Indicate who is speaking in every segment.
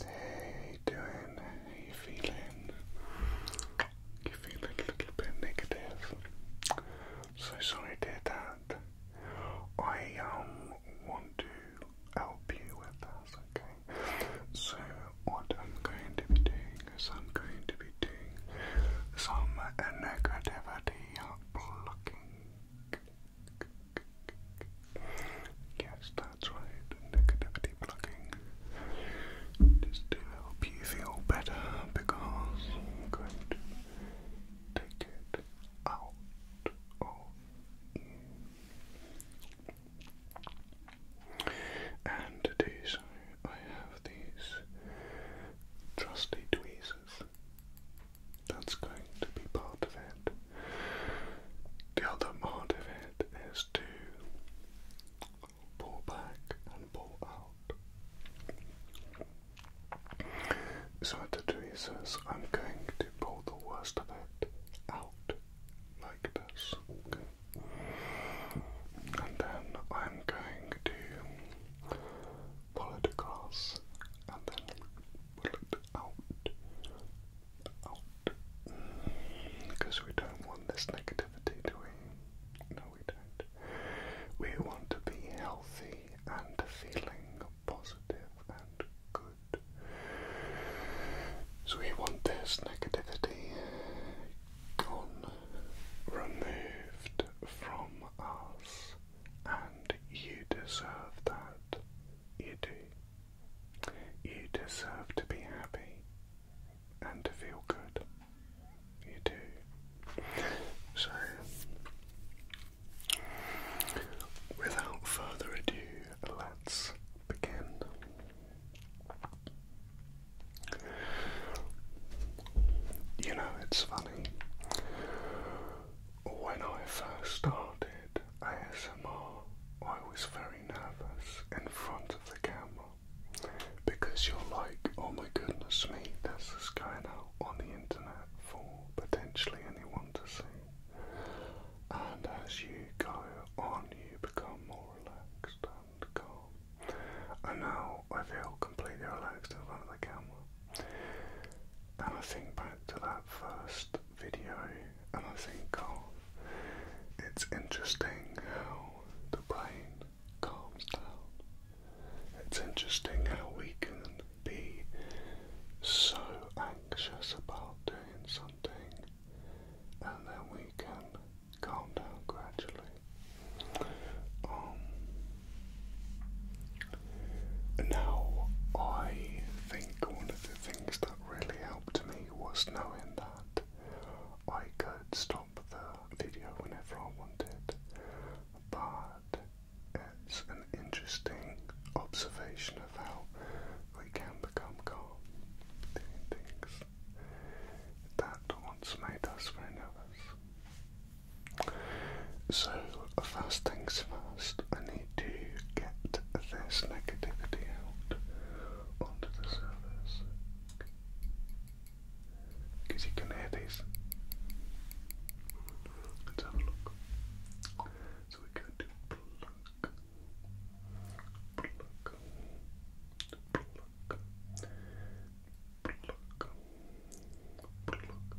Speaker 1: How you doing? How you feeling? You feel a little bit negative. So sorry to hear that. I um want to help you with that. okay? So what I'm going to be doing is I'm going to be doing some negativity blocking. Yes, that's right. Negativity plugging. Just to help you feel better because I'm going to take it out And to do so, I have these trusty tweezers. That's going to be part of it. The other part of it is to pull back and pull out. So at the tweezers, I'm going to pull the worst of it out like this. And then I'm going to pull it across and then pull it out out. Because we don't want this negativity, do we? No, we don't. We want to be healthy and feeling positive and good. So we want this negativity gone, removed from us, and you deserve that. You do. You deserve to be happy and to feel good. You do. So, without further ado, let's begin. You know, it's funny. When I first started ASMR, I was very nervous in front of the camera because you're like, oh my goodness me, this guy now on the internet for potentially anyone to see. And as you go on, you become more relaxed and calm. And now I feel completely relaxed in front of the camera. And I think back to that first video, and I think oh, it's interesting how the calms down. It's interesting how we can be so anxious about doing something, and then we can calm down gradually. Um, now, I think one of the things that really helped me was knowing that I could stop the video whenever I wanted, but it's an interesting observation of how we can become calm doing things that once made us very nervous. So, first things first, I need to get this negativity out onto the surface. Because you can hear these. Let's have a look. So we're going to pluck, pluck, pluck, pluck, pluck, pluck, pluck,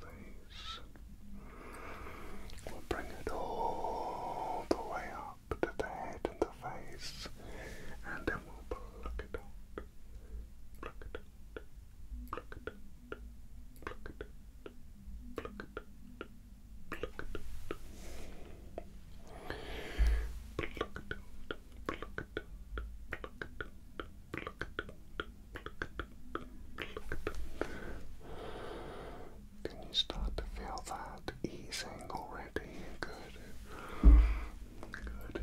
Speaker 1: face. We'll bring it all the way up to the head and the face, and then we'll pluck it out. Pluck it out. Pluck it out. Pluck it out. Pluck it out. Pluck it out. Pluck it out. Pluck it out. Pluck it out. Can you start to feel that easing already? Good. Good.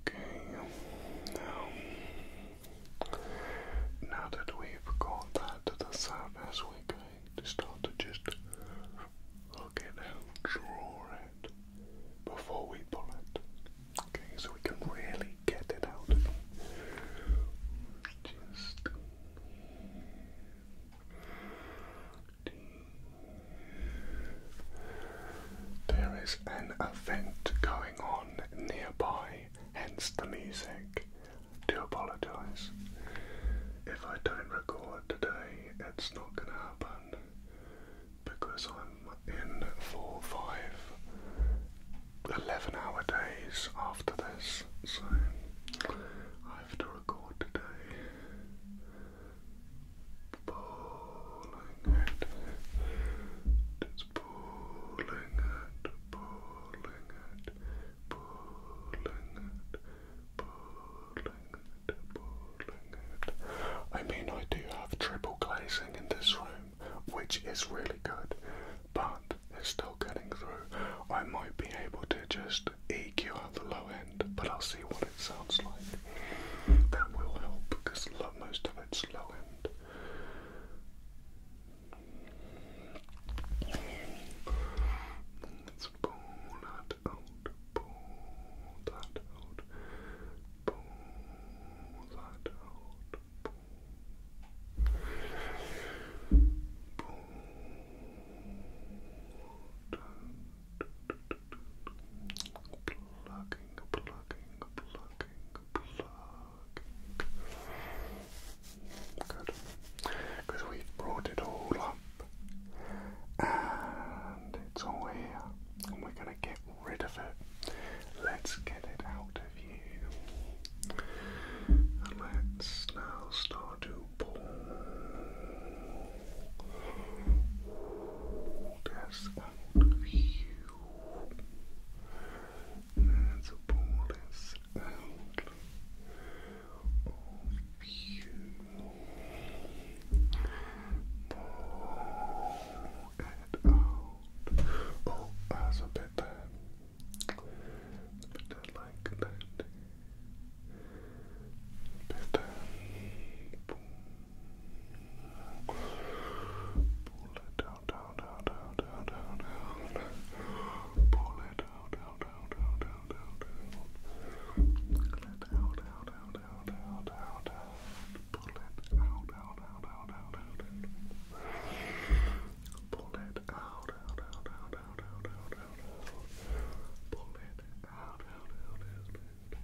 Speaker 1: Okay, now, now that we've got that to the surface, we're to start to just look it out, draw it before we pull it. Okay, so we can really get it out. Just there is an event going on nearby, hence the music. Do apologise. If I don't record today, it's not going to happen because I'm in four, five, 11 hour days after this, so I have to record today pulling it, just pulling it, pulling it, pulling it, pulling it, pulling it. I mean, I do have triple glazing in this room, which is really good, but it's still getting through. I might be able to just EQ out the low end, but I'll see what it sounds like. That will help because most of its low end. Let's pull that out, pull that out, pull that out, pull, that out. Because we brought it all up. And it's all here. And we're going to get rid of it. Let's get it out of you. And let's now start to pull. Yes, that's a bonus out of you. Pull it out. Oh, that's a bit A bit like that. bit there. Pull it down, down, down, down, down, down, down. Pull it down, down, down, down, down, down, down. Pull it down, down, down, down, down, down, down. Pull it out, out, out, out, out, out, out. Pull it out, out, out, out, out, out, out, out, out. Pull it out, out, out, out, out.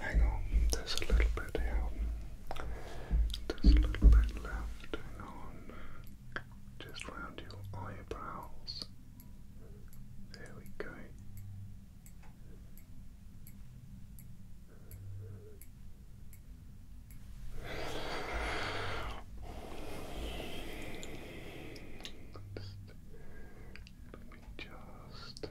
Speaker 1: Hang on, there's a little bit here. There's a little bit left. Hang on. Just round your eyebrows. There we go. Let me just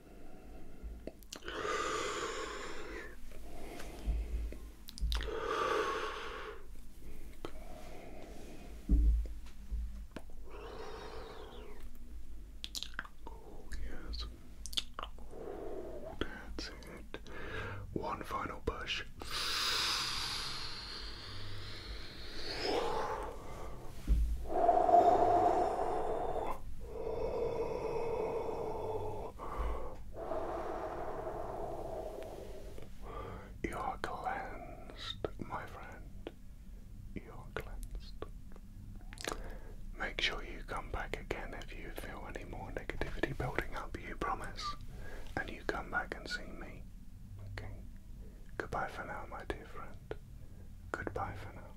Speaker 1: Oh, yes. Oh, that's it. One final push. You are cleansed, my friend. You are cleansed. Make sure you come back again if you feel any more negativity building up, you promise. And you come back and see me. Okay? Goodbye for now, my dear friend. Goodbye for now.